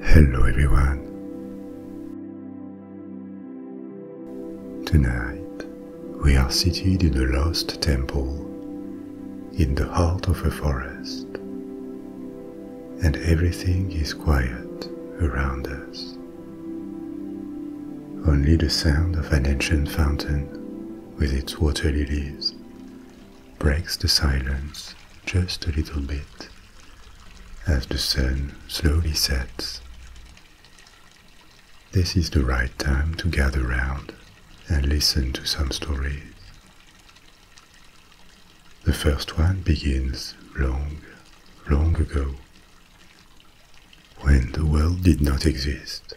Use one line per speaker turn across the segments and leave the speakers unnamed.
Hello everyone. Tonight, we are seated in a lost temple in the heart of a forest, and everything is quiet around us. Only the sound of an ancient fountain with its water lilies breaks the silence just a little bit as the sun slowly sets. This is the right time to gather round and listen to some stories. The first one begins long, long ago, when the world did not exist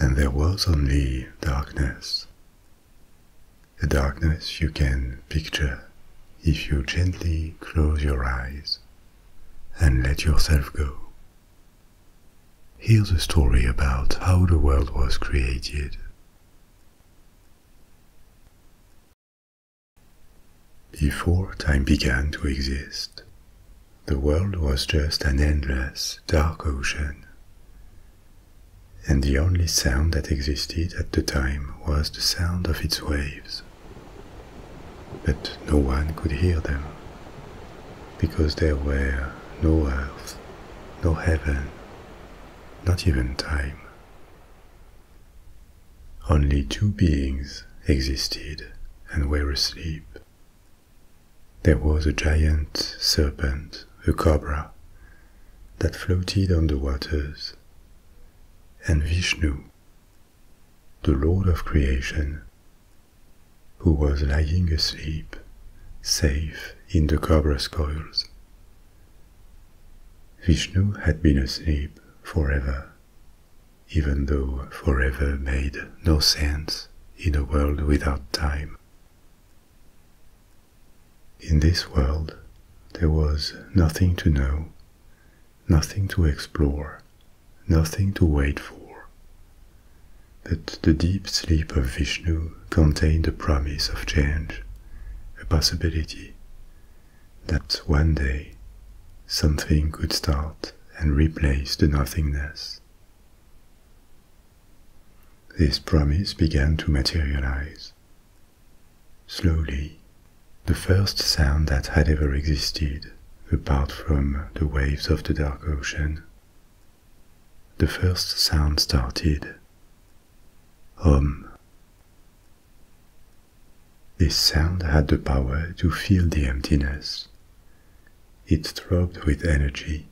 and there was only darkness the darkness you can picture if you gently close your eyes and let yourself go. Here's a story about how the world was created. Before time began to exist, the world was just an endless, dark ocean and the only sound that existed at the time was the sound of its waves. But no one could hear them, because there were no earth, no heaven, not even time. Only two beings existed and were asleep. There was a giant serpent, a cobra, that floated on the waters, and Vishnu, the Lord of creation, who was lying asleep, safe in the cobra's coils. Vishnu had been asleep forever, even though forever made no sense in a world without time. In this world, there was nothing to know, nothing to explore, nothing to wait for. But the deep sleep of Vishnu contained a promise of change, a possibility that one day something could start and replace the nothingness. This promise began to materialize. Slowly, the first sound that had ever existed, apart from the waves of the dark ocean, the first sound started. Hum. This sound had the power to fill the emptiness. It throbbed with energy,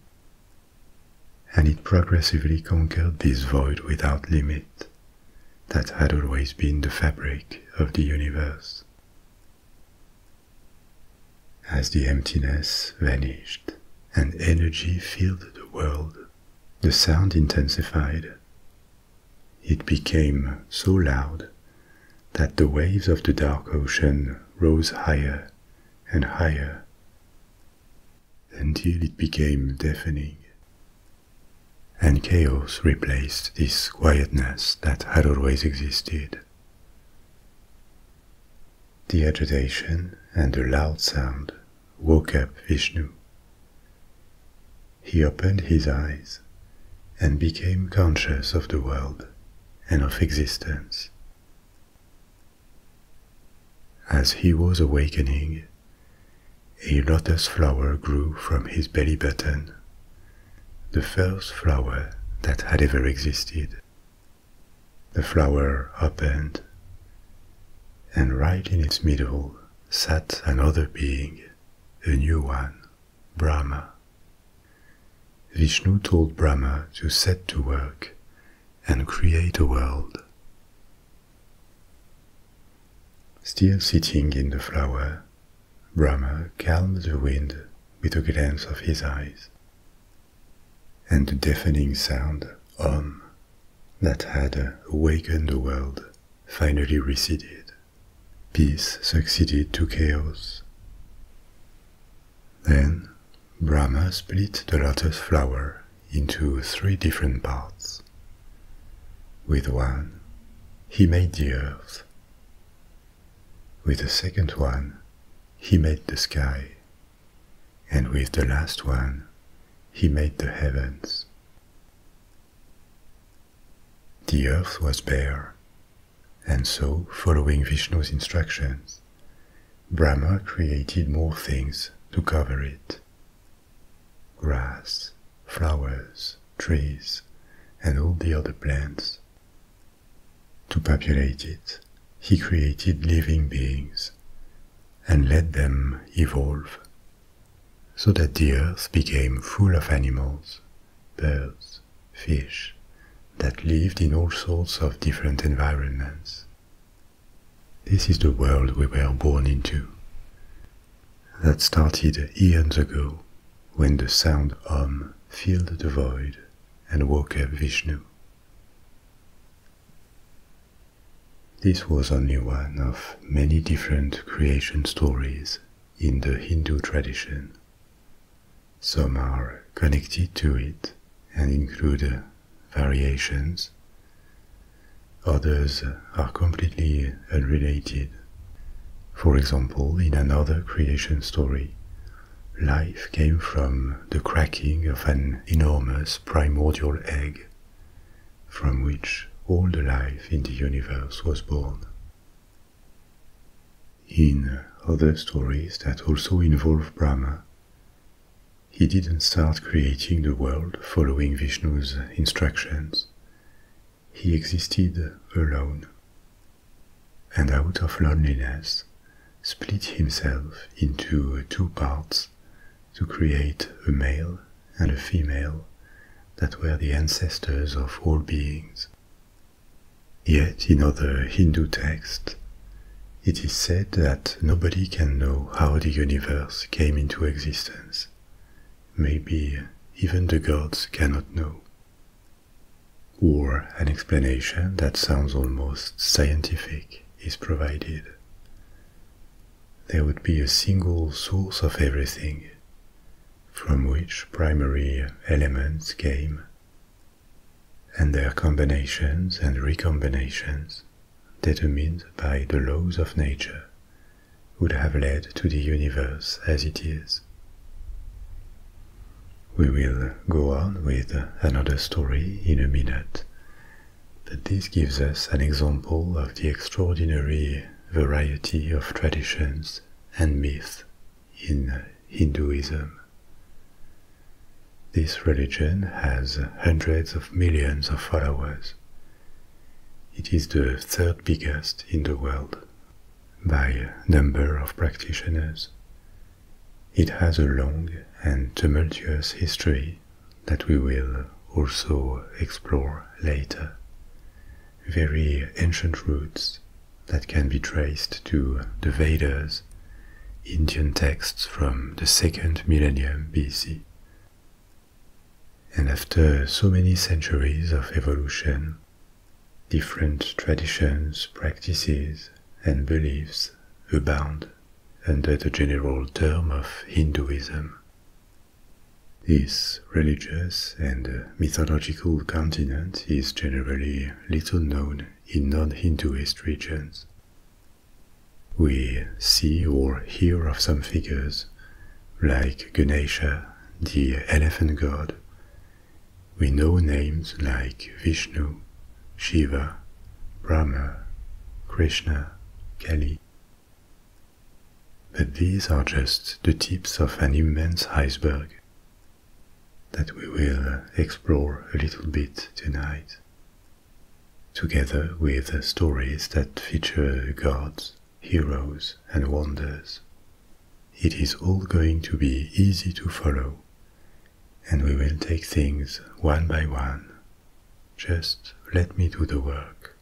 and it progressively conquered this void without limit that had always been the fabric of the universe. As the emptiness vanished and energy filled the world, the sound intensified. It became so loud that the waves of the dark ocean rose higher and higher until it became deafening. And chaos replaced this quietness that had always existed. The agitation and the loud sound woke up Vishnu. He opened his eyes and became conscious of the world and of existence. As he was awakening, a lotus flower grew from his belly button, the first flower that had ever existed. The flower opened, and right in its middle sat another being, a new one, Brahma. Vishnu told Brahma to set to work and create a world. Still sitting in the flower, Brahma calmed the wind with a glance of his eyes, and the deafening sound Om that had awakened the world finally receded. Peace succeeded to chaos. Then Brahma split the lotus flower into three different parts. With one, he made the earth. With the second one, he made the sky. And with the last one, he made the heavens. The earth was bare, and so, following Vishnu's instructions, Brahma created more things to cover it grass, flowers, trees, and all the other plants. To populate it, he created living beings and let them evolve, so that the earth became full of animals, birds, fish, that lived in all sorts of different environments, this is the world we were born into. That started eons ago when the sound Om filled the void and woke up Vishnu. This was only one of many different creation stories in the Hindu tradition. Some are connected to it and include variations. Others are completely unrelated. For example, in another creation story, life came from the cracking of an enormous primordial egg, from which all the life in the universe was born. In other stories that also involve Brahma, he didn't start creating the world following Vishnu's instructions. He existed alone and out of loneliness split himself into two parts to create a male and a female that were the ancestors of all beings. Yet in other Hindu texts, it is said that nobody can know how the universe came into existence. Maybe even the gods cannot know. Or an explanation that sounds almost scientific is provided. There would be a single source of everything, from which primary elements came, and their combinations and recombinations determined by the laws of nature, would have led to the universe as it is. We will go on with another story in a minute, but this gives us an example of the extraordinary variety of traditions and myths in Hinduism. This religion has hundreds of millions of followers it is the third biggest in the world by number of practitioners. It has a long and tumultuous history that we will also explore later. Very ancient roots that can be traced to the Vedas, Indian texts from the second millennium BC, and after so many centuries of evolution, different traditions, practices, and beliefs abound under the general term of Hinduism. This religious and mythological continent is generally little known in non-Hinduist regions. We see or hear of some figures, like Ganesha, the elephant god. We know names like Vishnu, Shiva, Brahma, Krishna, Kali. But these are just the tips of an immense iceberg that we will explore a little bit tonight together with stories that feature gods, heroes, and wonders. It is all going to be easy to follow, and we will take things one by one. Just let me do the work.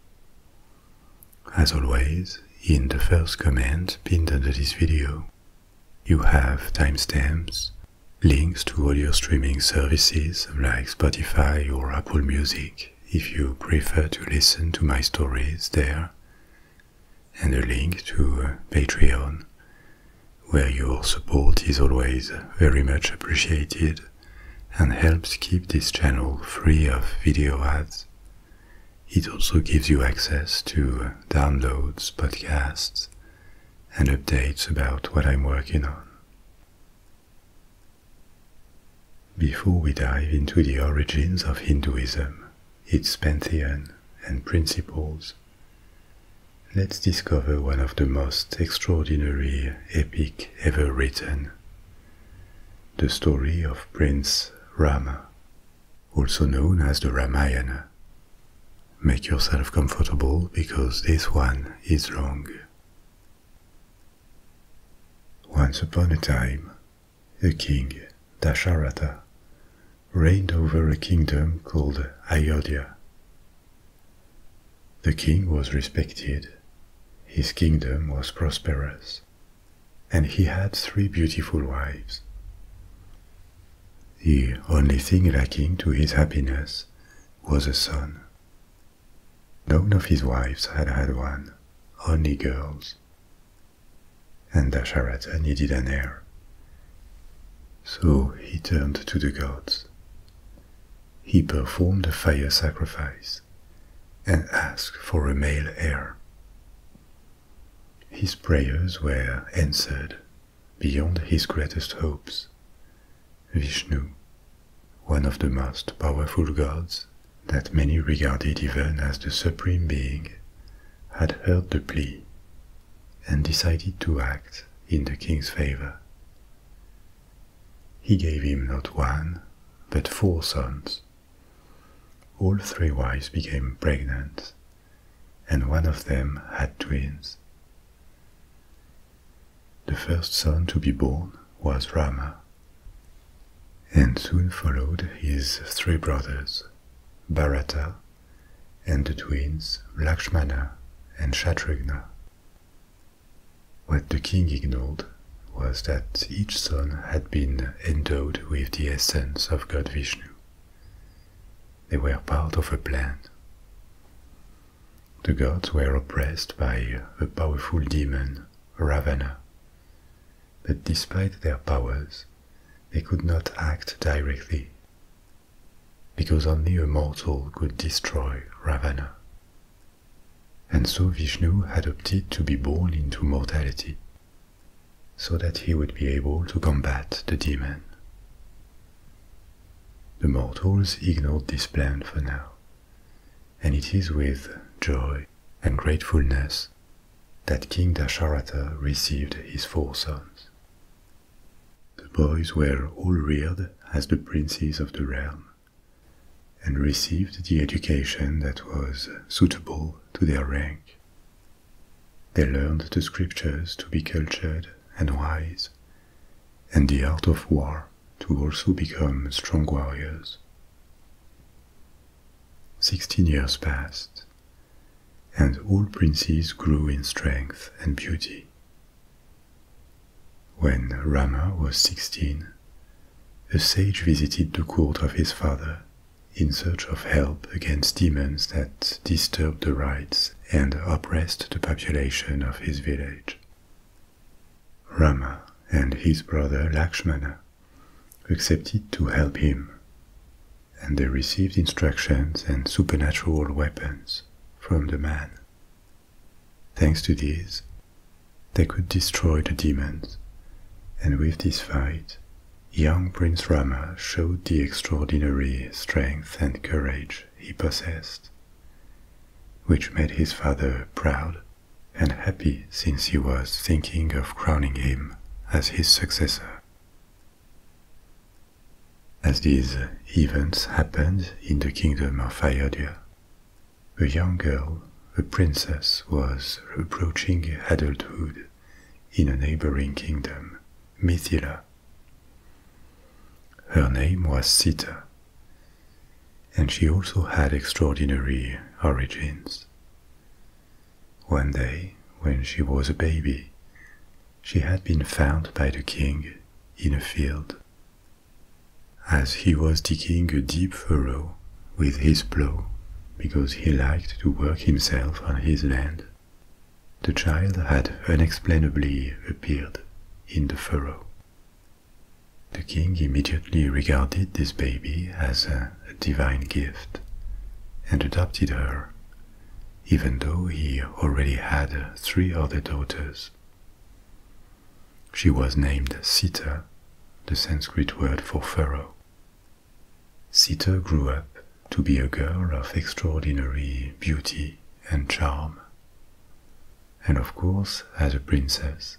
As always, in the first comment pinned under this video, you have timestamps, links to audio streaming services like Spotify or Apple Music, if you prefer to listen to my stories there, and a link to uh, Patreon, where your support is always very much appreciated and helps keep this channel free of video ads. It also gives you access to uh, downloads, podcasts, and updates about what I'm working on. Before we dive into the origins of Hinduism, its pantheon, and principles, let's discover one of the most extraordinary epic ever written the story of Prince Rama, also known as the Ramayana. Make yourself comfortable because this one is long. Once upon a time, a king, Dasharatha, reigned over a kingdom called Ayodhya. The king was respected, his kingdom was prosperous, and he had three beautiful wives. The only thing lacking to his happiness was a son, None of his wives had had one, only girls. And Dasharatha needed an heir. So he turned to the gods. He performed a fire sacrifice and asked for a male heir. His prayers were answered beyond his greatest hopes. Vishnu one of the most powerful gods that many regarded even as the supreme being, had heard the plea and decided to act in the king's favor. He gave him not one, but four sons. All three wives became pregnant, and one of them had twins. The first son to be born was Rama, and soon followed his three brothers, Bharata, and the twins Lakshmana and Shatrughna. What the king ignored was that each son had been endowed with the essence of God Vishnu. They were part of a plan. The gods were oppressed by a powerful demon Ravana. But despite their powers, they could not act directly, because only a mortal could destroy Ravana. And so Vishnu had opted to be born into mortality, so that he would be able to combat the demon. The mortals ignored this plan for now, and it is with joy and gratefulness that King Dasharatha received his four sons. The boys were all reared as the princes of the realm and received the education that was suitable to their rank. They learned the scriptures to be cultured and wise, and the art of war to also become strong warriors. Sixteen years passed, and all princes grew in strength and beauty. When Rama was sixteen, a sage visited the court of his father in search of help against demons that disturbed the rites and oppressed the population of his village. Rama and his brother Lakshmana accepted to help him, and they received instructions and supernatural weapons from the man. Thanks to these, they could destroy the demons, and with this fight, young Prince Rama showed the extraordinary strength and courage he possessed, which made his father proud and happy since he was thinking of crowning him as his successor. As these events happened in the kingdom of Iodia, a young girl, a princess, was approaching adulthood in a neighboring kingdom, Mithila. Her name was Sita, and she also had extraordinary origins. One day, when she was a baby, she had been found by the king in a field. As he was digging a deep furrow with his plough, because he liked to work himself on his land, the child had unexplainably appeared in the furrow. The king immediately regarded this baby as a divine gift and adopted her, even though he already had three other daughters. She was named Sita, the Sanskrit word for furrow. Sita grew up to be a girl of extraordinary beauty and charm, and of course as a princess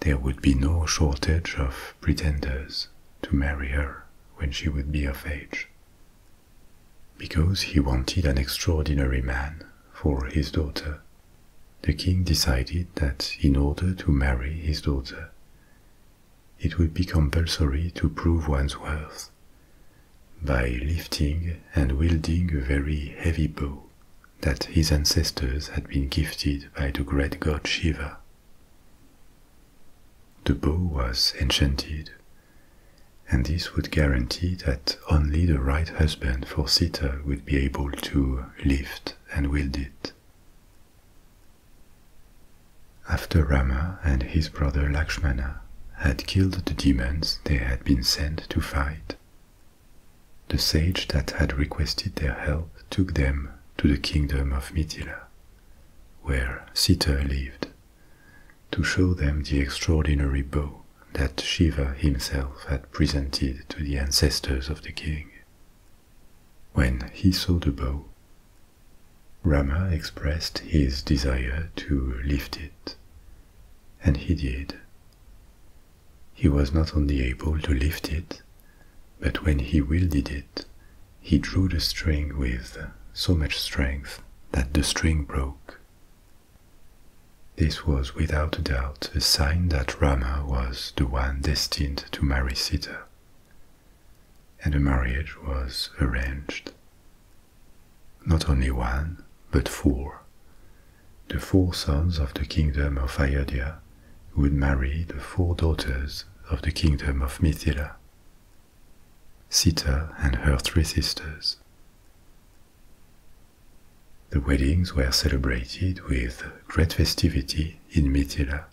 there would be no shortage of pretenders to marry her when she would be of age. Because he wanted an extraordinary man for his daughter, the king decided that in order to marry his daughter, it would be compulsory to prove one's worth by lifting and wielding a very heavy bow that his ancestors had been gifted by the great god Shiva. The bow was enchanted, and this would guarantee that only the right husband for Sita would be able to lift and wield it. After Rama and his brother Lakshmana had killed the demons they had been sent to fight, the sage that had requested their help took them to the kingdom of Mitila, where Sita lived, to show them the extraordinary bow that Shiva himself had presented to the ancestors of the king. When he saw the bow, Rama expressed his desire to lift it, and he did. He was not only able to lift it, but when he wielded it, he drew the string with so much strength that the string broke. This was without a doubt a sign that Rama was the one destined to marry Sita, and the marriage was arranged. Not only one, but four. The four sons of the kingdom of Ayodhya who would marry the four daughters of the kingdom of Mithila Sita and her three sisters. The weddings were celebrated with great festivity in Mithila,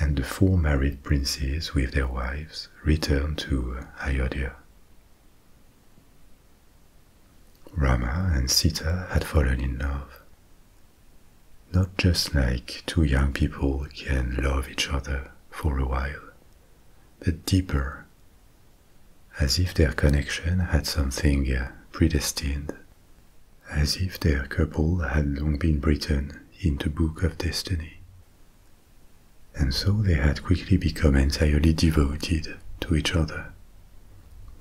and the four married princes with their wives returned to Ayodhya. Rama and Sita had fallen in love, not just like two young people can love each other for a while, but deeper, as if their connection had something predestined, as if their couple had long been written in the book of destiny. And so they had quickly become entirely devoted to each other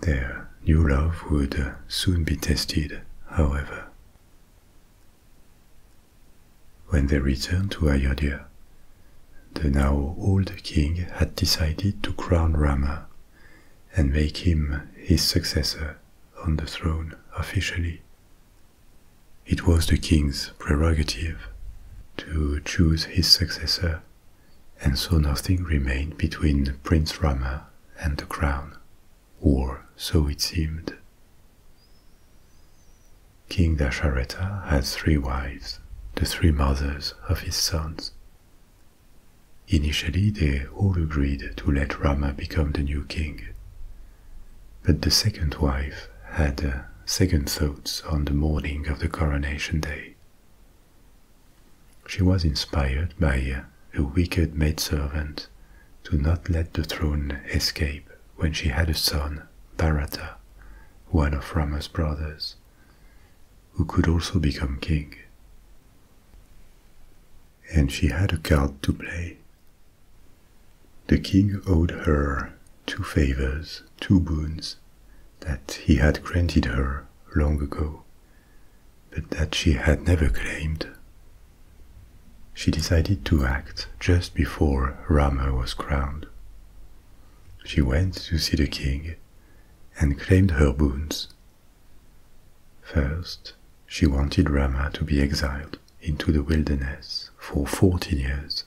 their new love would soon be tested, however. When they returned to Ayodhya, the now old king had decided to crown Rama and make him his successor on the throne officially. It was the king's prerogative to choose his successor, and so nothing remained between Prince Rama and the crown or so it seemed. King Dasharatha had three wives, the three mothers of his sons. Initially, they all agreed to let Rama become the new king, but the second wife had uh, second thoughts on the morning of the coronation day. She was inspired by a wicked maidservant to not let the throne escape when she had a son, Bharata, one of Rama's brothers, who could also become king. And she had a card to play. The king owed her two favors, two boons, that he had granted her long ago but that she had never claimed. She decided to act just before Rama was crowned. She went to see the king and claimed her boons. First, she wanted Rama to be exiled into the wilderness for 40 years.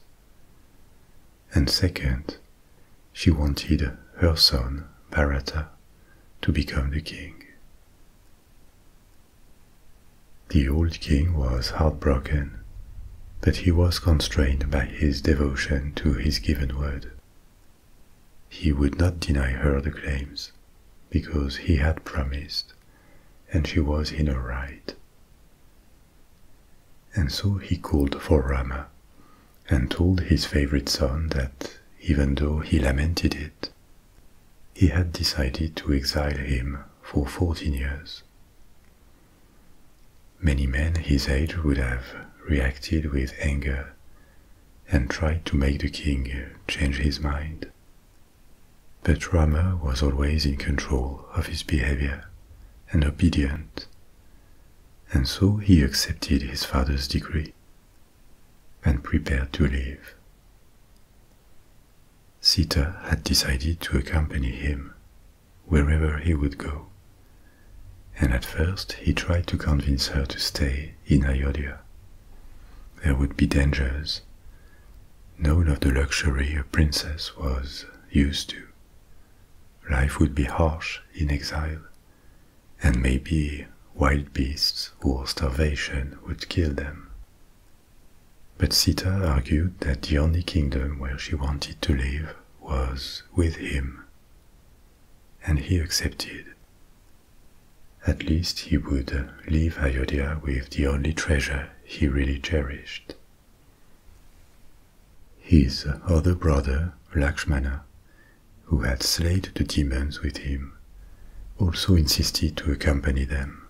And second, she wanted her son, Bharata, to become the king. The old king was heartbroken, but he was constrained by his devotion to his given word. He would not deny her the claims, because he had promised, and she was in her right. And so he called for Rama, and told his favorite son that even though he lamented it, he had decided to exile him for 14 years. Many men his age would have reacted with anger and tried to make the king change his mind. But Rama was always in control of his behavior and obedient, and so he accepted his father's decree and prepared to leave. Sita had decided to accompany him wherever he would go, and at first he tried to convince her to stay in Ayodhya. There would be dangers, none of the luxury a princess was used to. Life would be harsh in exile, and maybe wild beasts or starvation would kill them. But Sita argued that the only kingdom where she wanted to live was with him, and he accepted. At least he would leave Ayodhya with the only treasure he really cherished. His other brother, Lakshmana, who had slayed the demons with him, also insisted to accompany them.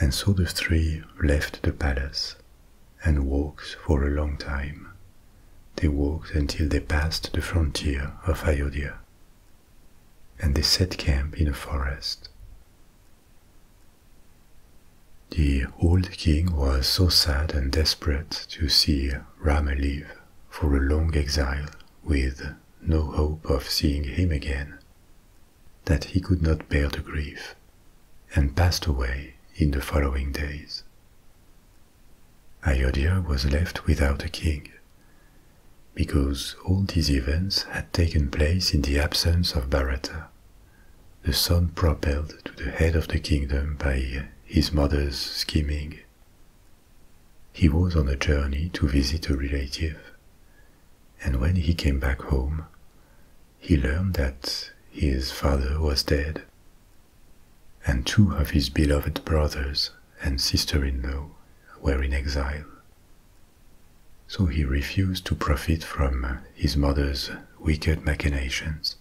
And so the three left the palace and walked for a long time. They walked until they passed the frontier of Iodia. And they set camp in a forest. The old king was so sad and desperate to see Rama leave for a long exile with no hope of seeing him again, that he could not bear the grief, and passed away in the following days. Ayodhya was left without a king, because all these events had taken place in the absence of Bharata, the son propelled to the head of the kingdom by his mother's scheming he was on a journey to visit a relative, and when he came back home, he learned that his father was dead, and two of his beloved brothers and sister in law were in exile. So he refused to profit from his mother's wicked machinations,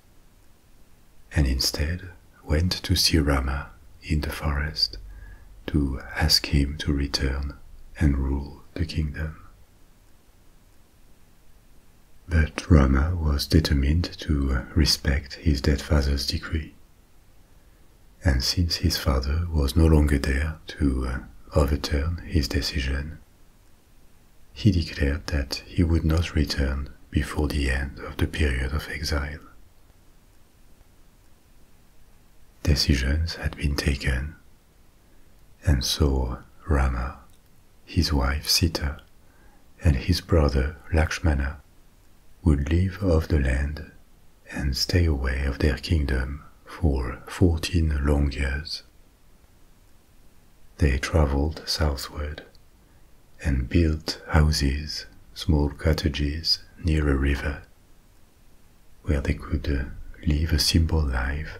and instead went to see Rama in the forest to ask him to return and rule the kingdom. But Rama was determined to respect his dead father's decree. And since his father was no longer there to uh, overturn his decision, he declared that he would not return before the end of the period of exile. Decisions had been taken, and so Rama, his wife Sita, and his brother Lakshmana would leave off the land and stay away of their kingdom for 14 long years. They traveled southward and built houses, small cottages near a river where they could uh, live a simple life,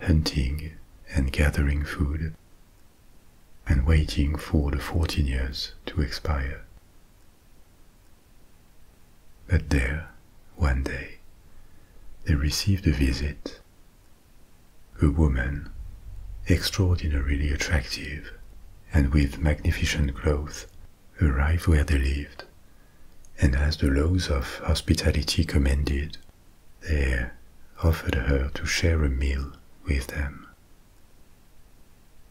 hunting and gathering food, and waiting for the 14 years to expire. But there, one day, they received a visit. A woman, extraordinarily attractive and with magnificent clothes, Arrived where they lived, and as the laws of hospitality commanded, they offered her to share a meal with them.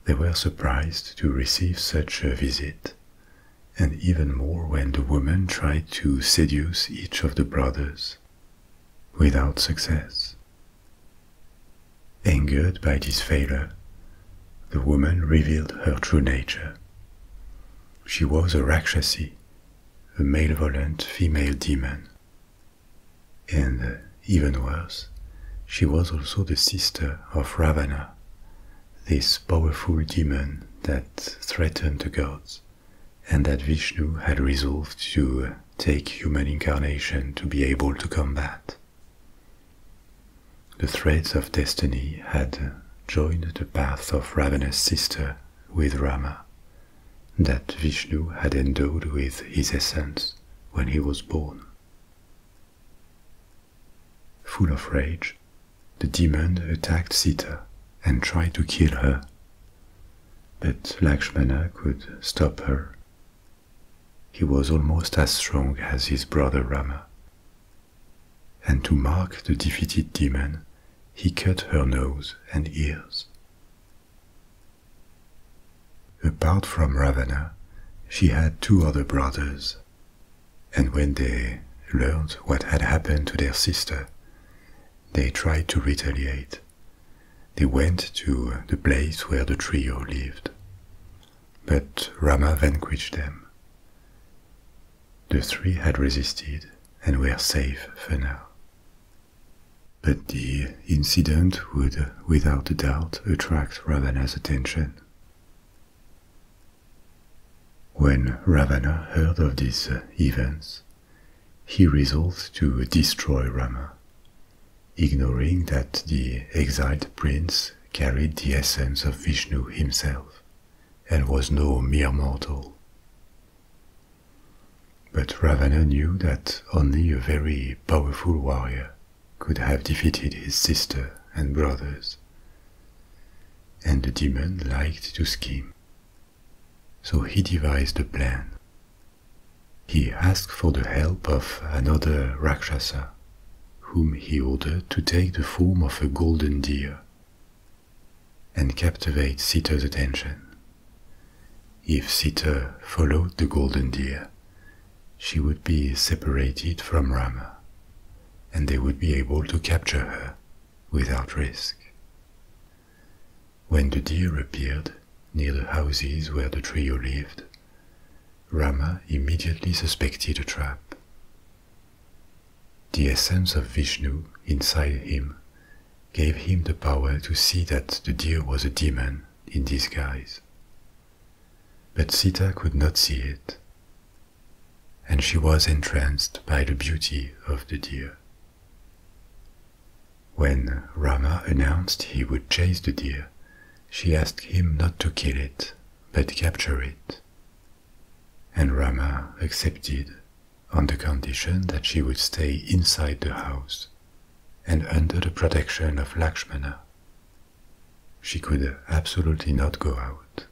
They were surprised to receive such a visit, and even more when the woman tried to seduce each of the brothers, without success. Angered by this failure, the woman revealed her true nature. She was a Rakshasi, a malevolent female demon. And even worse, she was also the sister of Ravana, this powerful demon that threatened the gods, and that Vishnu had resolved to take human incarnation to be able to combat. The threads of destiny had joined the path of Ravana's sister with Rama, that Vishnu had endowed with his essence when he was born. Full of rage, the demon attacked Sita and tried to kill her, but Lakshmana could stop her he was almost as strong as his brother Rama. And to mark the defeated demon, he cut her nose and ears. Apart from Ravana, she had two other brothers, and when they learned what had happened to their sister, they tried to retaliate. They went to the place where the trio lived but Rama vanquished them. The three had resisted and were safe for now. But the incident would, without a doubt, attract Ravana's attention. When Ravana heard of these uh, events, he resolved to destroy Rama, ignoring that the exiled prince carried the essence of Vishnu himself and was no mere mortal. But Ravana knew that only a very powerful warrior could have defeated his sister and brothers, and the demon liked to scheme. So he devised a plan. He asked for the help of another Rakshasa whom he ordered to take the form of a golden deer and captivate Sita's attention. If Sita followed the golden deer, she would be separated from Rama, and they would be able to capture her without risk. When the deer appeared near the houses where the trio lived, Rama immediately suspected a trap. The essence of Vishnu inside him gave him the power to see that the deer was a demon in disguise. But Sita could not see it, and she was entranced by the beauty of the deer. When Rama announced he would chase the deer, she asked him not to kill it but capture it. And Rama accepted on the condition that she would stay inside the house and under the protection of Lakshmana. She could absolutely not go out.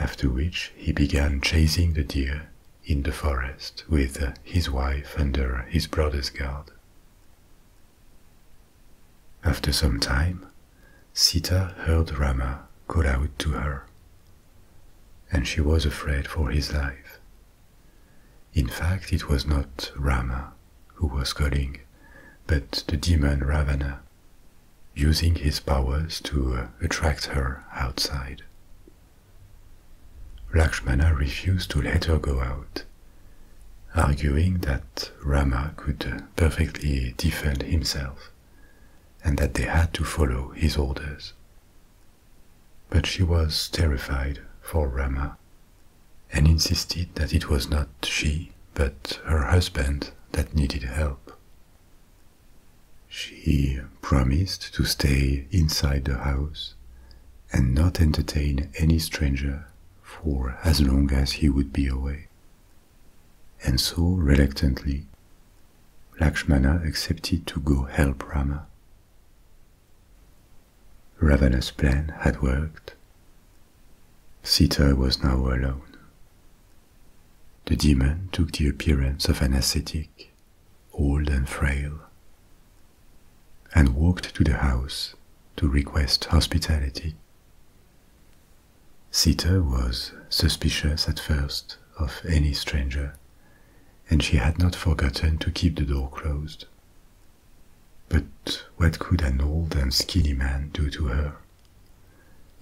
After which he began chasing the deer in the forest with his wife under his brother's guard. After some time, Sita heard Rama call out to her, and she was afraid for his life. In fact, it was not Rama who was calling, but the demon Ravana, using his powers to uh, attract her outside. Lakshmana refused to let her go out arguing that Rama could perfectly defend himself and that they had to follow his orders. But she was terrified for Rama and insisted that it was not she but her husband that needed help. She promised to stay inside the house and not entertain any stranger for as long as he would be away. And so, reluctantly, Lakshmana accepted to go help Rama. Ravana's plan had worked. Sita was now alone. The demon took the appearance of an ascetic, old and frail, and walked to the house to request hospitality. Sita was suspicious at first of any stranger, and she had not forgotten to keep the door closed. But what could an old and skinny man do to her?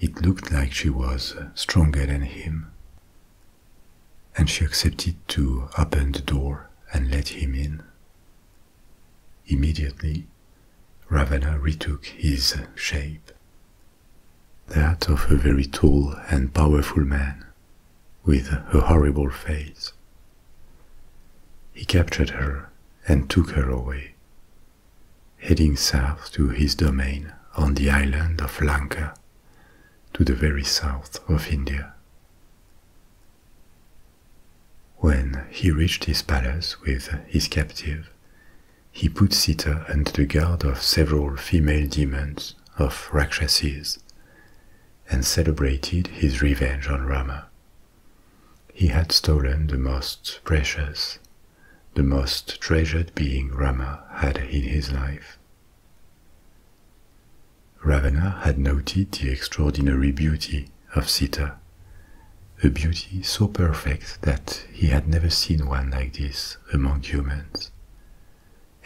It looked like she was stronger than him. And she accepted to open the door and let him in. Immediately, Ravana retook his shape, that of a very tall and powerful man, with a horrible face. He captured her and took her away, heading south to his domain on the island of Lanka, to the very south of India. When he reached his palace with his captive, he put Sita under the guard of several female demons of Rakshasas, and celebrated his revenge on Rama. He had stolen the most precious, the most treasured being Rama had in his life. Ravana had noted the extraordinary beauty of Sita, a beauty so perfect that he had never seen one like this among humans.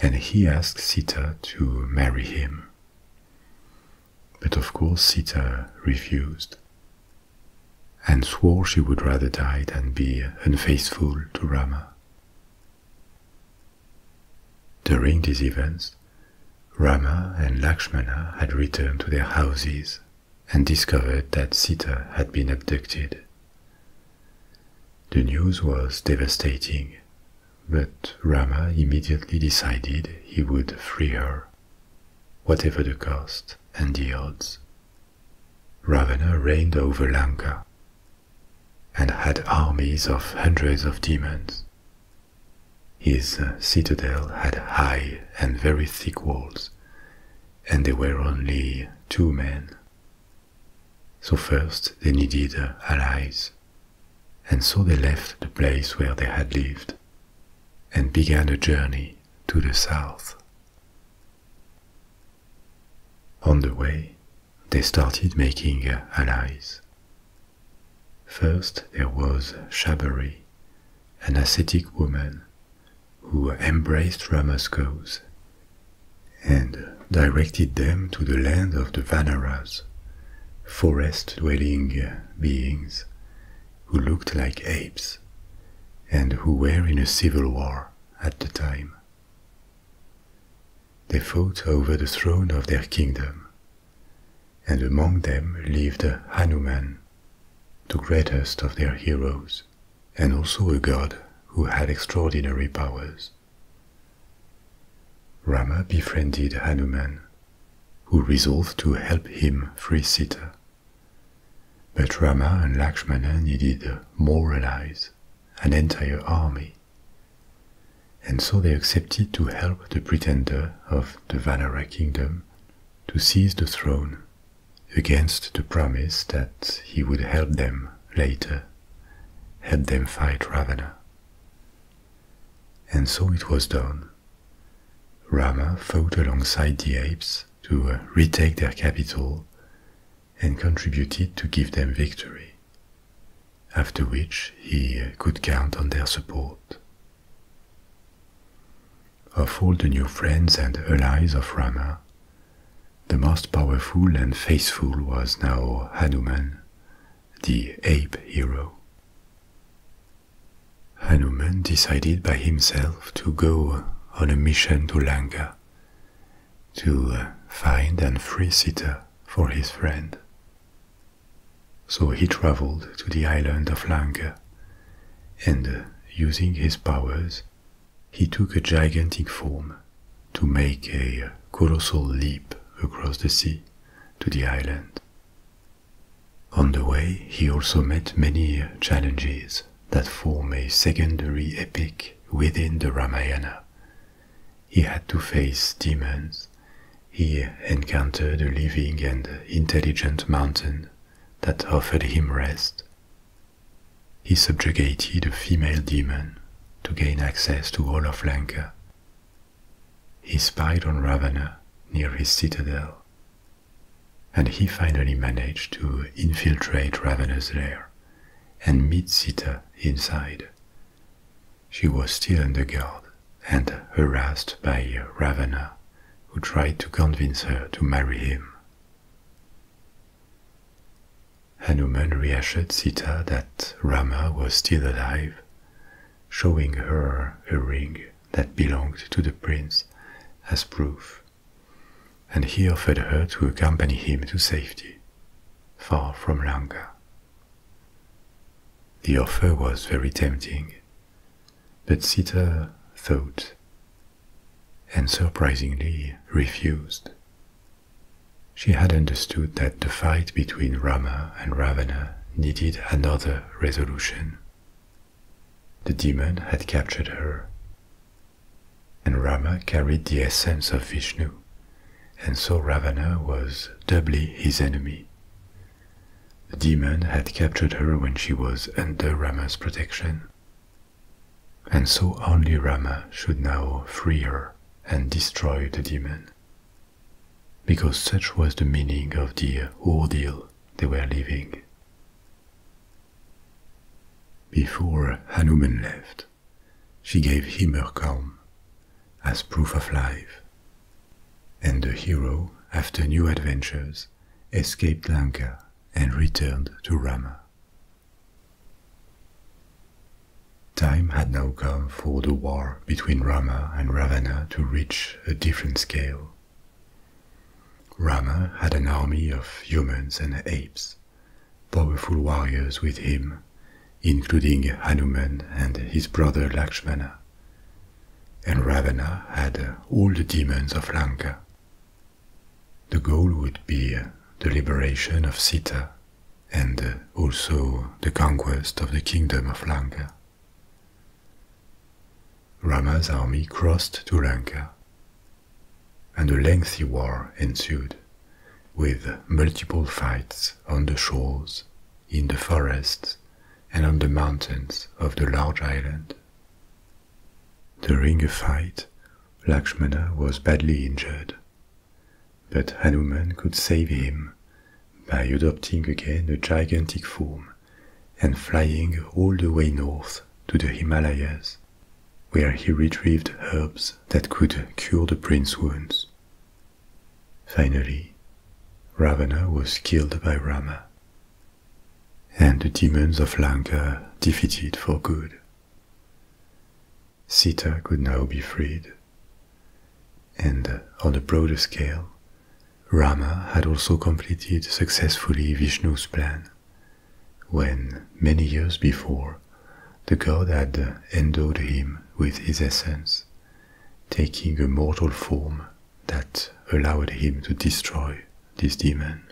And he asked Sita to marry him. But of course Sita refused and swore she would rather die than be unfaithful to Rama. During these events, Rama and Lakshmana had returned to their houses and discovered that Sita had been abducted. The news was devastating, but Rama immediately decided he would free her, whatever the cost and the odds. Ravana reigned over Lanka and had armies of hundreds of demons. His citadel had high and very thick walls, and they were only two men. So first they needed uh, allies, and so they left the place where they had lived and began a journey to the south. On the way, they started making uh, allies. First there was Shabari, an ascetic woman who embraced Rama's cause and directed them to the land of the Vanaras, forest-dwelling beings who looked like apes and who were in a civil war at the time. They fought over the throne of their kingdom, and among them lived Hanuman, the greatest of their heroes, and also a god who had extraordinary powers. Rama befriended Hanuman, who resolved to help him free Sita. But Rama and Lakshmana needed more allies, an entire army. And so they accepted to help the pretender of the Vanara kingdom to seize the throne against the promise that he would help them later, help them fight Ravenna. And so it was done. Rama fought alongside the apes to uh, retake their capital and contributed to give them victory, after which he uh, could count on their support of all the new friends and allies of Rama. The most powerful and faithful was now Hanuman, the ape hero. Hanuman decided by himself to go on a mission to Lanka. to find and free Sita for his friend. So he traveled to the island of Lanka and uh, using his powers, he took a gigantic form to make a uh, colossal leap across the sea to the island. On the way, he also met many uh, challenges that form a secondary epic within the Ramayana. He had to face demons, he encountered a living and intelligent mountain that offered him rest, he subjugated a female demon to gain access to all of Lanka. He spied on Ravana near his citadel, and he finally managed to infiltrate Ravana's lair and meet Sita inside. She was still under guard and harassed by Ravana, who tried to convince her to marry him Hanuman reassured Sita that Rama was still alive, showing her a ring that belonged to the prince as proof, and he offered her to accompany him to safety, far from Lanka. The offer was very tempting, but Sita thought and surprisingly refused. She had understood that the fight between Rama and Ravana needed another resolution. The demon had captured her, and Rama carried the essence of Vishnu, and so Ravana was doubly his enemy. The demon had captured her when she was under Rama's protection, and so only Rama should now free her and destroy the demon. Because such was the meaning of the ordeal they were living. Before Hanuman left, she gave him her calm as proof of life. And the hero, after new adventures, escaped Lanka and returned to Rama. Time had now come for the war between Rama and Ravana to reach a different scale. Rama had an army of humans and apes, powerful warriors with him, including Hanuman and his brother Lakshmana. And Ravana had all the demons of Lanka, the goal would be the liberation of Sita and also the conquest of the kingdom of Lanka. Rama's army crossed to Lanka, and a lengthy war ensued, with multiple fights on the shores, in the forests, and on the mountains of the large island. During a fight, Lakshmana was badly injured, but Hanuman could save him by adopting again a gigantic form and flying all the way north to the Himalayas, where he retrieved herbs that could cure the prince's wounds. Finally, Ravana was killed by Rama, and the demons of Lanka defeated for good. Sita could now be freed. And on a broader scale, Rama had also completed successfully Vishnu's plan, when many years before the god had endowed him with his essence, taking a mortal form that allowed him to destroy this demon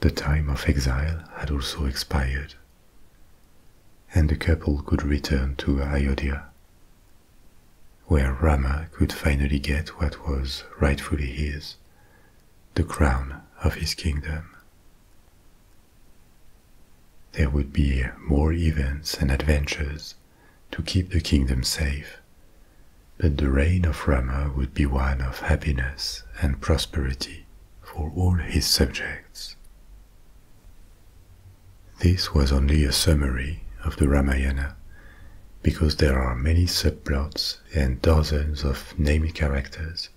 the time of exile had also expired, and the couple could return to Ayodhya, where Rama could finally get what was rightfully his, the crown of his kingdom. There would be more events and adventures to keep the kingdom safe but the reign of Rama would be one of happiness and prosperity for all his subjects. This was only a summary of the Ramayana, because there are many subplots and dozens of named characters.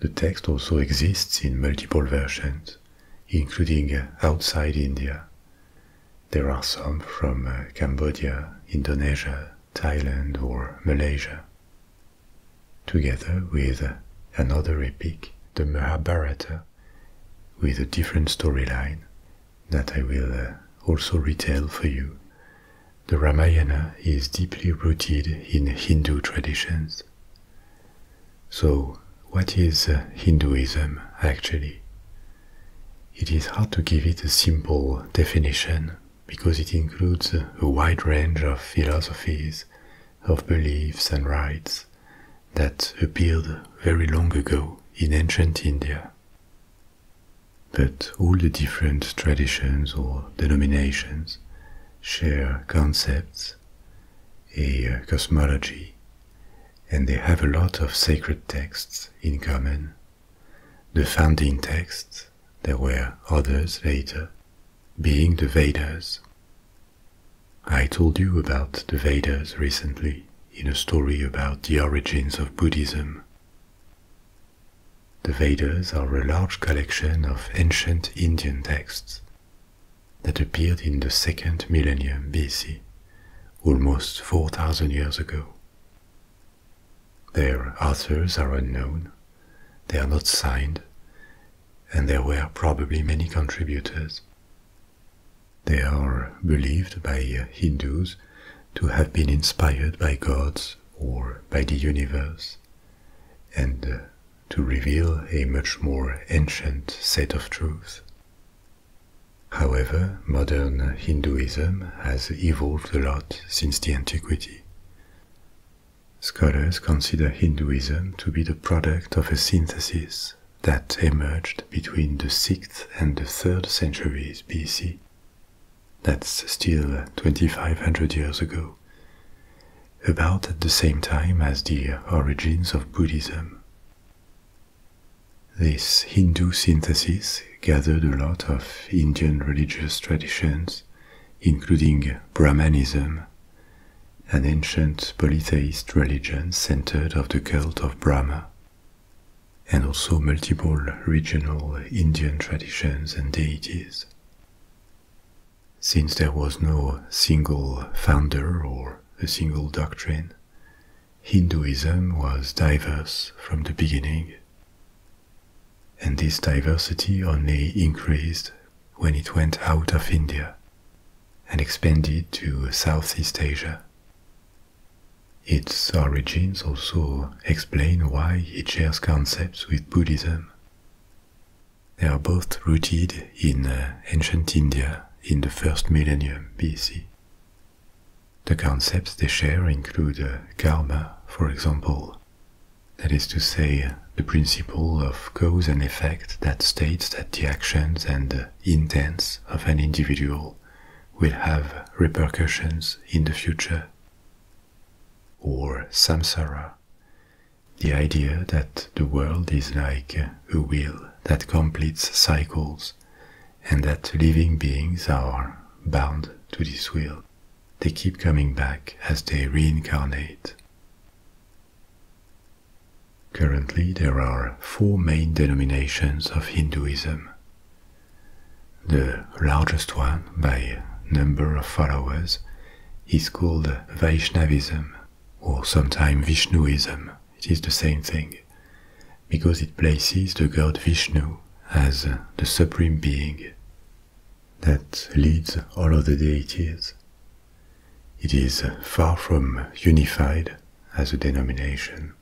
The text also exists in multiple versions, including uh, outside India. There are some from uh, Cambodia, Indonesia, Thailand, or Malaysia. Together with another epic, the Mahabharata, with a different storyline that I will uh, also retell for you. The Ramayana is deeply rooted in Hindu traditions. So, what is uh, Hinduism actually? It is hard to give it a simple definition because it includes a wide range of philosophies, of beliefs and rites that appeared very long ago in ancient India. But all the different traditions or denominations share concepts, a cosmology, and they have a lot of sacred texts in common the founding texts, there were others later, being the Vedas. I told you about the Vedas recently in a story about the origins of Buddhism. The Vedas are a large collection of ancient Indian texts that appeared in the second millennium BC, almost 4000 years ago. Their authors are unknown, they are not signed, and there were probably many contributors. They are believed by Hindus to have been inspired by gods or by the universe, and uh, to reveal a much more ancient set of truths. However, modern Hinduism has evolved a lot since the antiquity. Scholars consider Hinduism to be the product of a synthesis that emerged between the 6th and the 3rd centuries BC. That's still 2500 years ago, about at the same time as the origins of Buddhism. This Hindu synthesis gathered a lot of Indian religious traditions, including Brahmanism, an ancient polytheist religion centered of the cult of Brahma, and also multiple regional Indian traditions and deities. Since there was no single founder or a single doctrine, Hinduism was diverse from the beginning and this diversity only increased when it went out of India and expanded to Southeast Asia. Its origins also explain why it shares concepts with Buddhism. They are both rooted in uh, ancient India in the first millennium BC. The concepts they share include uh, karma, for example, that is to say, uh, the principle of cause and effect that states that the actions and intents of an individual will have repercussions in the future. Or samsara, the idea that the world is like uh, a wheel that completes cycles and that living beings are bound to this wheel. They keep coming back as they reincarnate. Currently, there are four main denominations of Hinduism. The largest one, by number of followers, is called Vaishnavism, or sometimes Vishnuism. It is the same thing, because it places the god Vishnu as the supreme being that leads all of the deities. It is far from unified as a denomination.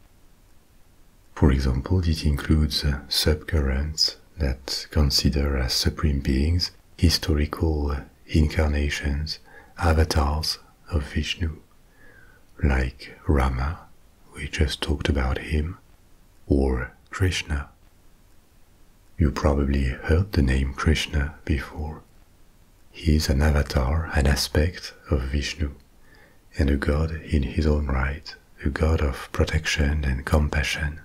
For example, it includes subcurrents that consider as supreme beings historical incarnations, avatars of Vishnu, like Rama, we just talked about him, or Krishna. You probably heard the name Krishna before. He is an avatar, an aspect of Vishnu, and a god in his own right, a god of protection and compassion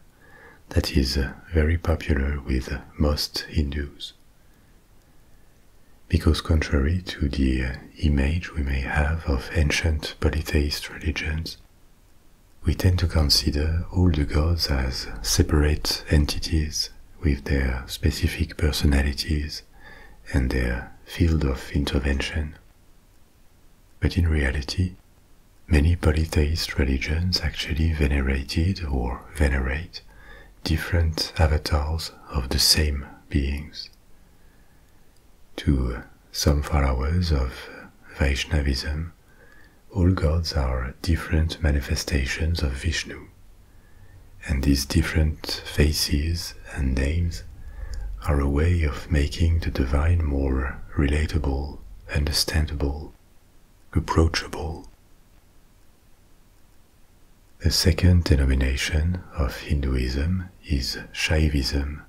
that is uh, very popular with most Hindus. Because contrary to the uh, image we may have of ancient polytheist religions, we tend to consider all the gods as separate entities with their specific personalities and their field of intervention. But in reality, many polytheist religions actually venerated or venerate different avatars of the same beings. To some followers of Vaishnavism, all gods are different manifestations of Vishnu, and these different faces and names are a way of making the divine more relatable, understandable, approachable. The second denomination of Hinduism is Shaivism,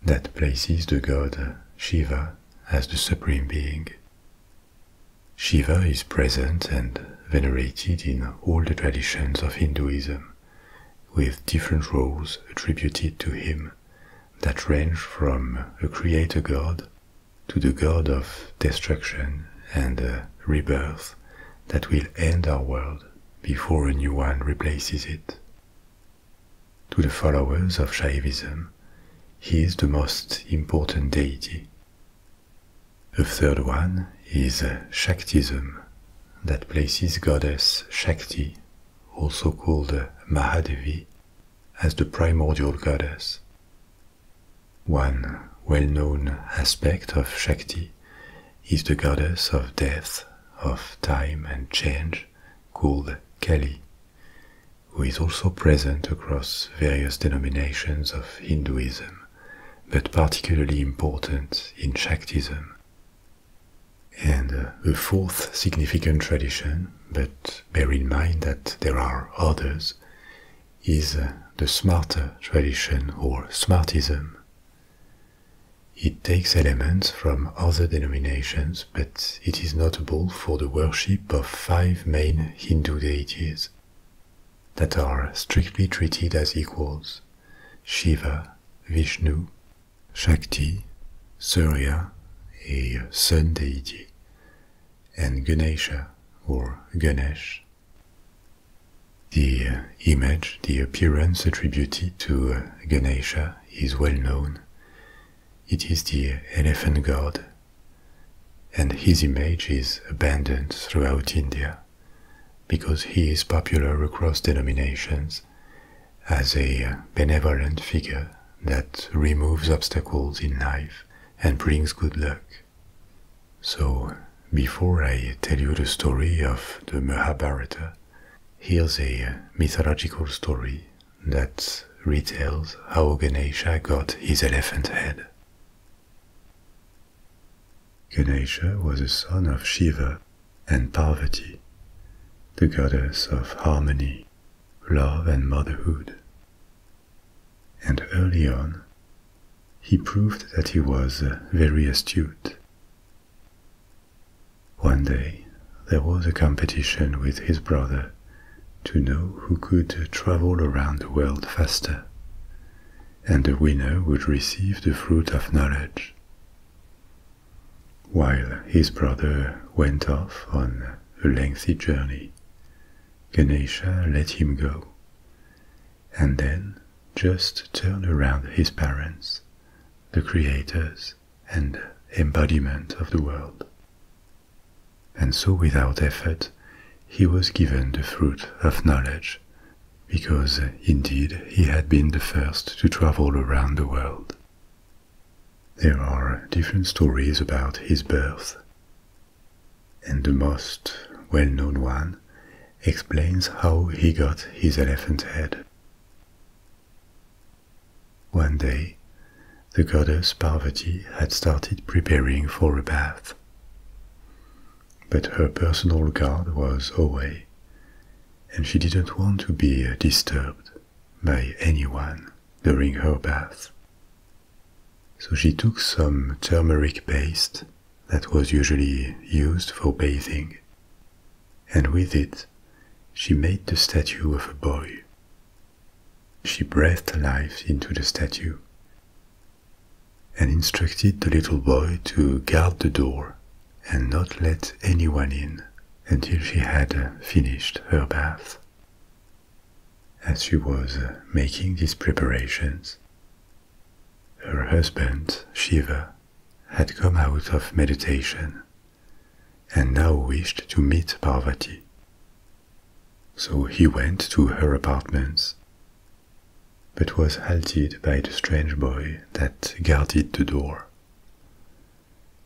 that places the god Shiva as the supreme being. Shiva is present and venerated in all the traditions of Hinduism, with different roles attributed to him that range from a creator god to the god of destruction and uh, rebirth that will end our world before a new one replaces it. To the followers of Shaivism, he is the most important deity. The third one is Shaktism, that places goddess Shakti, also called Mahadevi, as the primordial goddess. One well known aspect of Shakti is the goddess of death, of time and change, called Kali, who is also present across various denominations of Hinduism, but particularly important in Shaktism. And uh, a fourth significant tradition, but bear in mind that there are others, is uh, the Smarter tradition or Smartism. It takes elements from other denominations, but it is notable for the worship of five main Hindu deities that are strictly treated as equals Shiva, Vishnu, Shakti, Surya, a sun deity, and Ganesha or Ganesh. The image, the appearance attributed to Ganesha is well known. It is the elephant god, and his image is abundant throughout India because he is popular across denominations as a benevolent figure that removes obstacles in life and brings good luck. So, before I tell you the story of the Mahabharata, here's a mythological story that retells how Ganesha got his elephant head. Ganesha was a son of Shiva and Parvati, the goddess of harmony, love, and motherhood. And early on, he proved that he was very astute. One day, there was a competition with his brother to know who could travel around the world faster, and the winner would receive the fruit of knowledge. While his brother went off on a lengthy journey, Ganesha let him go, and then just turned around his parents, the creators, and embodiment of the world. And so without effort, he was given the fruit of knowledge, because indeed he had been the first to travel around the world. There are different stories about his birth, and the most well-known one explains how he got his elephant head. One day, the goddess Parvati had started preparing for a bath. But her personal guard was away, and she didn't want to be disturbed by anyone during her bath. So she took some turmeric paste that was usually used for bathing and with it, she made the statue of a boy. She breathed life into the statue and instructed the little boy to guard the door and not let anyone in until she had finished her bath. As she was making these preparations, her husband, Shiva, had come out of meditation and now wished to meet Parvati. So he went to her apartments, but was halted by the strange boy that guarded the door.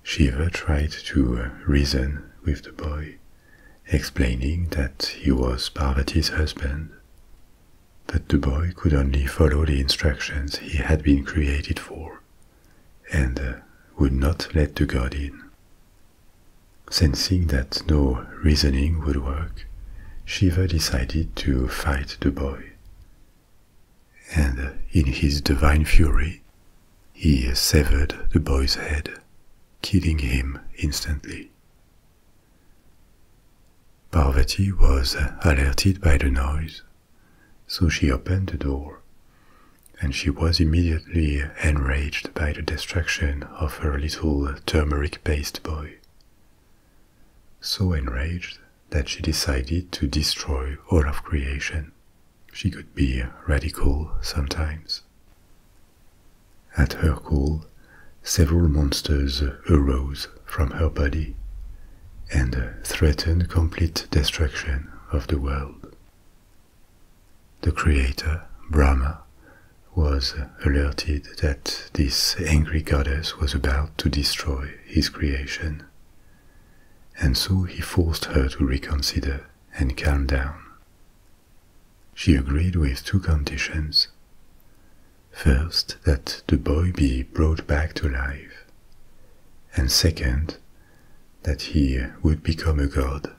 Shiva tried to reason with the boy, explaining that he was Parvati's husband, but the boy could only follow the instructions he had been created for and uh, would not let the god in. Sensing that no reasoning would work, Shiva decided to fight the boy. And uh, in his divine fury, he severed the boy's head, killing him instantly. Parvati was uh, alerted by the noise so she opened the door, and she was immediately enraged by the distraction of her little turmeric paste boy. So enraged that she decided to destroy all of creation. She could be radical sometimes. At her call, several monsters arose from her body and threatened complete destruction of the world. The creator, Brahma, was uh, alerted that this angry goddess was about to destroy his creation, and so he forced her to reconsider and calm down. She agreed with two conditions. First, that the boy be brought back to life, and second, that he would become a god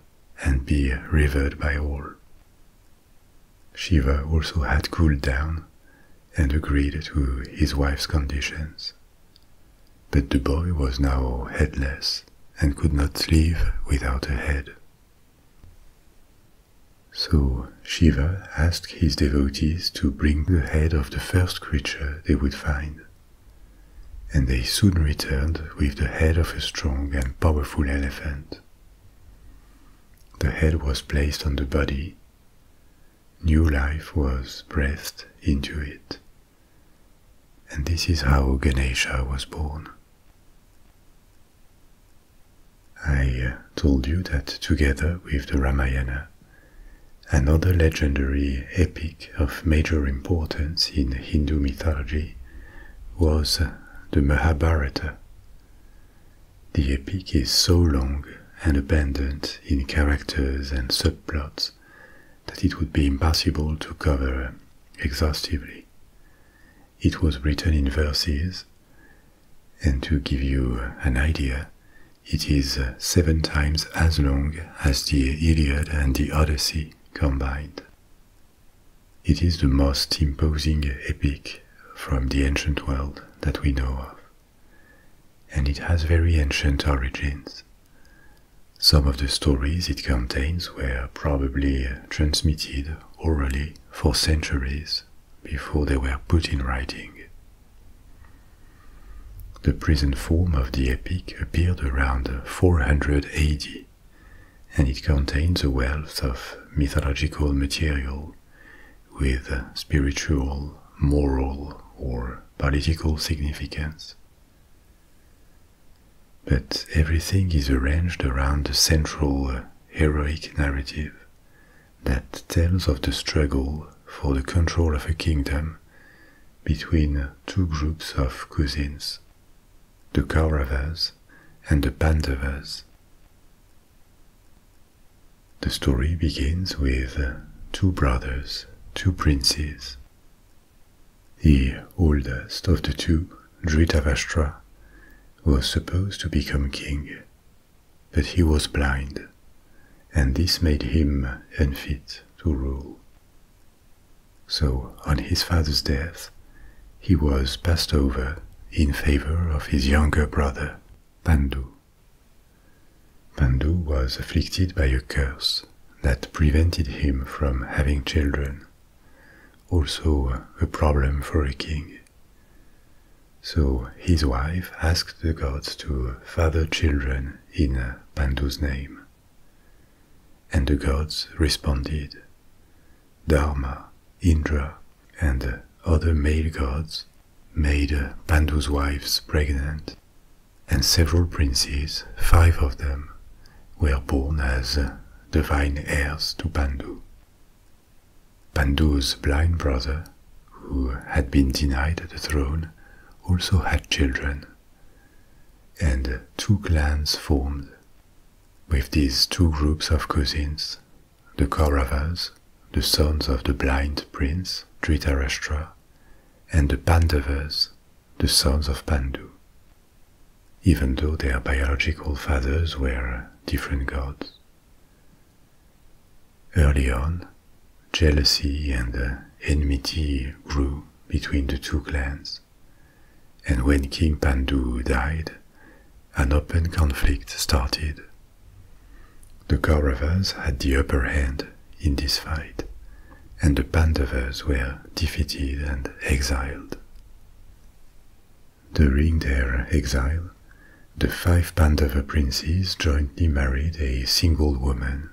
and be revered by all. Shiva also had cooled down and agreed to his wife's conditions. But the boy was now headless and could not live without a head. So Shiva asked his devotees to bring the head of the first creature they would find and they soon returned with the head of a strong and powerful elephant. The head was placed on the body, new life was breathed into it, and this is how Ganesha was born. I uh, told you that together with the Ramayana, another legendary epic of major importance in Hindu mythology was the Mahabharata. The epic is so long and abundant in characters and subplots that it would be impossible to cover exhaustively. It was written in verses, and to give you an idea, it is seven times as long as the Iliad and the Odyssey combined. It is the most imposing epic from the ancient world that we know of, and it has very ancient origins. Some of the stories it contains were probably transmitted orally for centuries before they were put in writing. The present form of the epic appeared around 400 AD, and it contains a wealth of mythological material with spiritual, moral, or political significance. But everything is arranged around a central uh, heroic narrative that tells of the struggle for the control of a kingdom between two groups of cousins the Kauravas and the Pandavas. The story begins with two brothers, two princes. The oldest of the two, Dhritavashtra, was supposed to become king, but he was blind, and this made him unfit to rule. So, on his father's death, he was passed over in favor of his younger brother, Pandu. Pandu was afflicted by a curse that prevented him from having children, also a problem for a king. So his wife asked the gods to father children in Pandu's name. And the gods responded. Dharma, Indra, and other male gods made Pandu's wives pregnant, and several princes, five of them, were born as divine heirs to Pandu. Pandu's blind brother, who had been denied the throne, also had children, and two clans formed. With these two groups of cousins, the Kauravas, the sons of the blind prince Dhritarashtra, and the Pandavas, the sons of Pandu. Even though their biological fathers were different gods. Early on, jealousy and enmity grew between the two clans and when King Pandu died, an open conflict started. The Kauravas had the upper hand in this fight, and the Pandavas were defeated and exiled. During their exile, the five Pandava princes jointly married a single woman,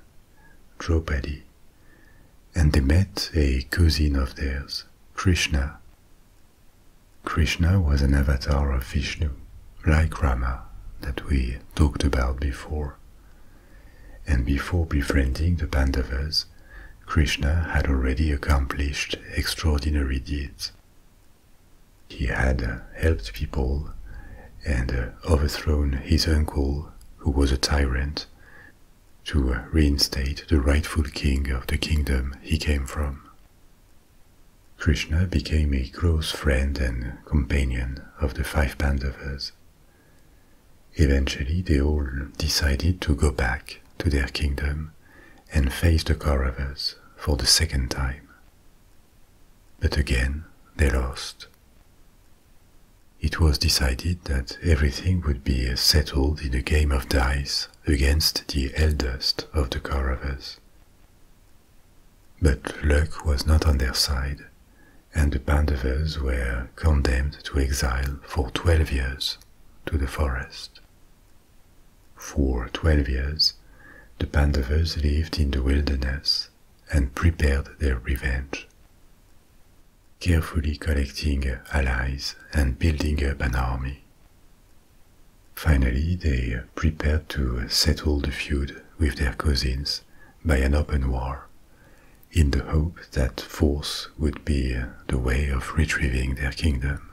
Draupadi, and they met a cousin of theirs, Krishna. Krishna was an avatar of Vishnu, like Rama, that we talked about before. And before befriending the Pandavas, Krishna had already accomplished extraordinary deeds. He had uh, helped people and uh, overthrown his uncle, who was a tyrant, to reinstate the rightful king of the kingdom he came from. Krishna became a close friend and companion of the five Pandavas. Eventually, they all decided to go back to their kingdom and face the Kauravas for the second time. But again, they lost. It was decided that everything would be settled in a game of dice against the eldest of the Kauravas. But luck was not on their side, and the Pandavas were condemned to exile for twelve years to the forest. For twelve years, the Pandavas lived in the wilderness and prepared their revenge carefully collecting allies and building up an army. Finally, they prepared to settle the feud with their cousins by an open war, in the hope that force would be the way of retrieving their kingdom.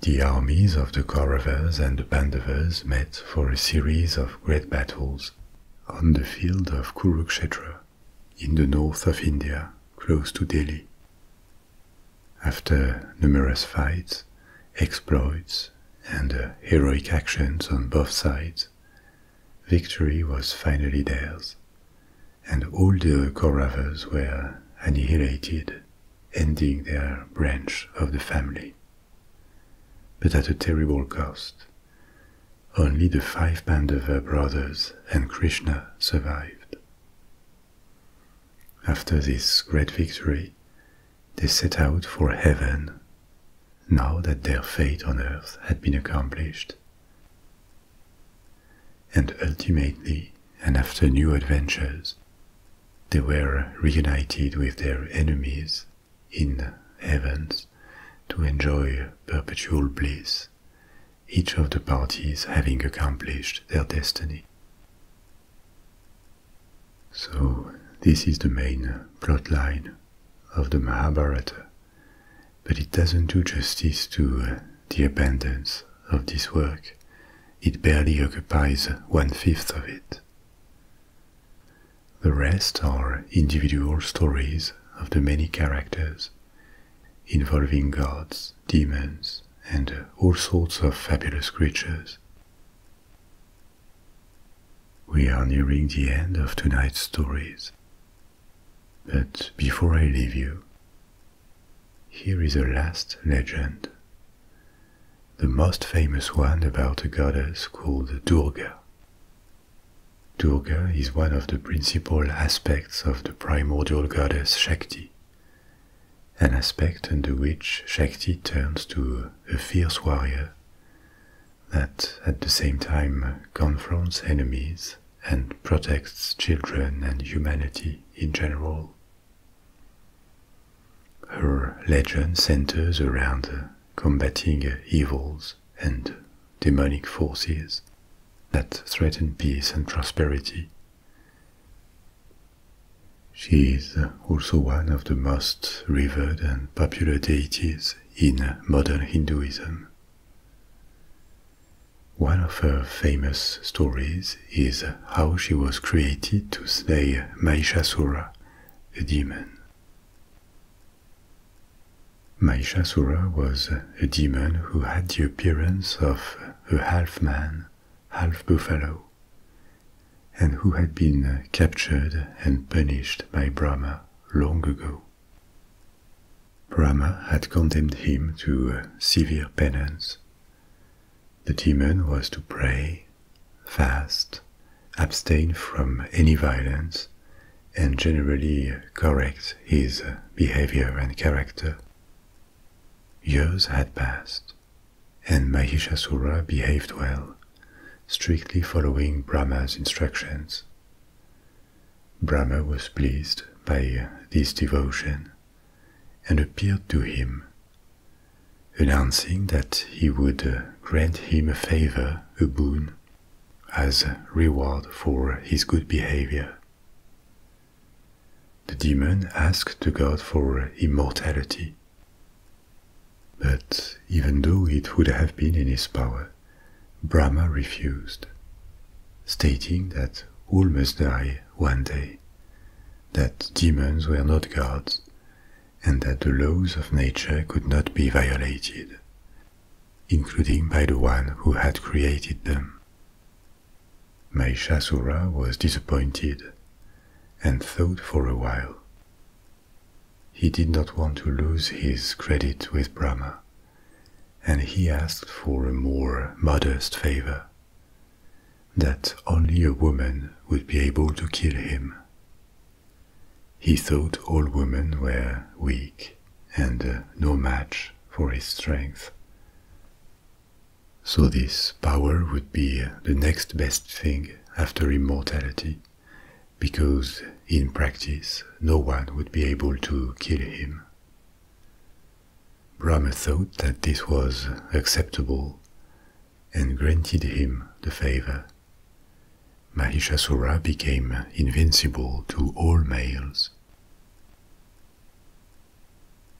The armies of the Kauravas and the Pandavas met for a series of great battles on the field of Kurukshetra in the north of India, close to Delhi. After numerous fights, exploits, and uh, heroic actions on both sides, victory was finally theirs, and all the Kauravas were annihilated, ending their branch of the family. But at a terrible cost, only the five Pandava brothers and Krishna survived. After this great victory, they set out for heaven, now that their fate on earth had been accomplished. And ultimately, and after new adventures, they were reunited with their enemies in heaven to enjoy perpetual bliss each of the parties having accomplished their destiny. So, this is the main plot line of the Mahabharata, but it doesn't do justice to the abundance of this work. It barely occupies one fifth of it. The rest are individual stories of the many characters, involving gods, demons, and all sorts of fabulous creatures. We are nearing the end of tonight's stories. But before I leave you, here is a last legend. The most famous one about a goddess called Durga. Durga is one of the principal aspects of the primordial goddess Shakti, an aspect under which Shakti turns to a fierce warrior that at the same time confronts enemies and protects children and humanity in general. Her legend centers around combating evils and demonic forces that threaten peace and prosperity. She is also one of the most revered and popular deities in modern Hinduism. One of her famous stories is how she was created to slay Mahishasura, a demon. Mahishasura was a demon who had the appearance of a half man, half buffalo, and who had been uh, captured and punished by Brahma long ago. Brahma had condemned him to uh, severe penance. The demon was to pray, fast, abstain from any violence, and generally correct his uh, behavior and character. Years had passed, and Mahishasura behaved well, strictly following Brahma's instructions. Brahma was pleased by uh, this devotion and appeared to him, announcing that he would uh, grant him a favor, a boon, as reward for his good behavior. The demon asked the god for immortality. But even though it would have been in his power, Brahma refused, stating that all must die one day, that demons were not gods, and that the laws of nature could not be violated, including by the one who had created them. Mahishasura was disappointed and thought for a while. He did not want to lose his credit with Brahma, and he asked for a more modest favor that only a woman would be able to kill him. He thought all women were weak and no match for his strength. So this power would be the next best thing after immortality, because in practice no one would be able to kill him. Brahma thought that this was acceptable and granted him the favor. Mahishasura became invincible to all males.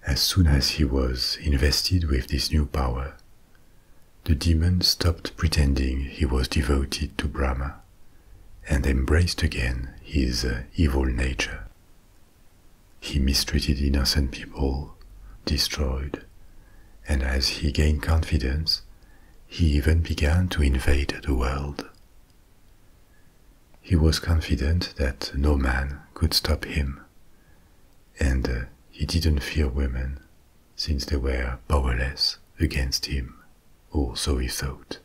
As soon as he was invested with this new power, the demon stopped pretending he was devoted to Brahma and embraced again his uh, evil nature. He mistreated innocent people, destroyed, and as he gained confidence, he even began to invade the world he was confident that no man could stop him, and uh, he didn't fear women since they were powerless against him, or so he thought.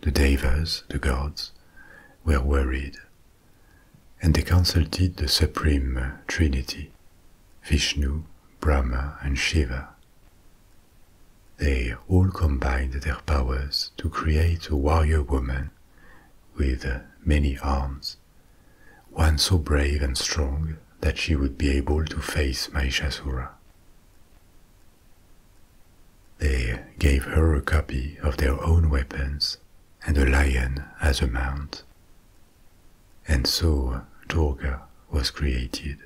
The Devas, the gods, were worried, and they consulted the Supreme Trinity, Vishnu, Brahma, and Shiva, they all combined their powers to create a warrior woman with many arms, one so brave and strong that she would be able to face Maishasura. They gave her a copy of their own weapons and a lion as a mount. And so Durga was created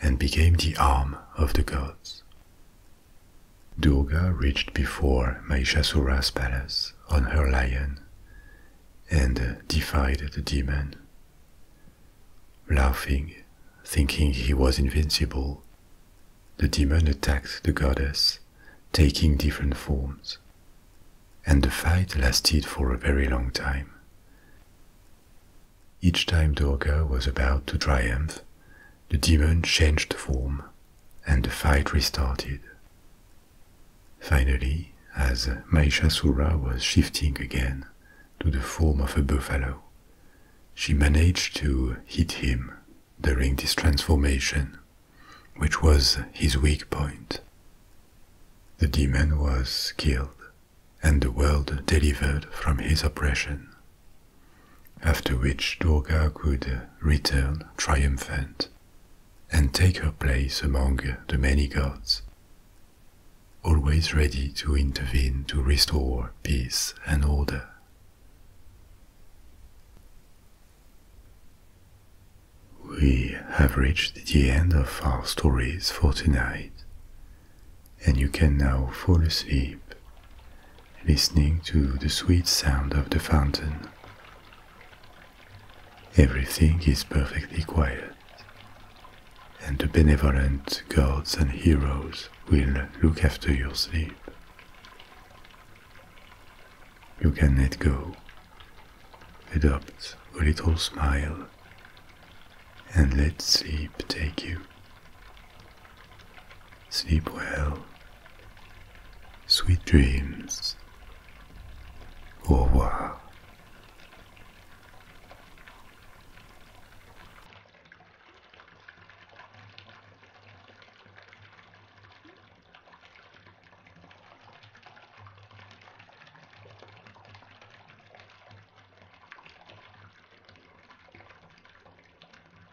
and became the arm of the gods. Durga reached before Mahishasura's palace on her lion and defied the demon. Laughing, thinking he was invincible, the demon attacked the goddess, taking different forms. And the fight lasted for a very long time. Each time Durga was about to triumph, the demon changed form, and the fight restarted. Finally, as Mahishasura was shifting again to the form of a buffalo, she managed to hit him during this transformation, which was his weak point. The demon was killed, and the world delivered from his oppression after which Durga could return triumphant and take her place among the many gods, always ready to intervene to restore peace and order. We have reached the end of our stories for tonight, and you can now fall asleep listening to the sweet sound of the fountain. Everything is perfectly quiet, and the benevolent gods and heroes will look after your sleep. You can let go, adopt a little smile, and let sleep take you. Sleep well. Sweet dreams. Au revoir.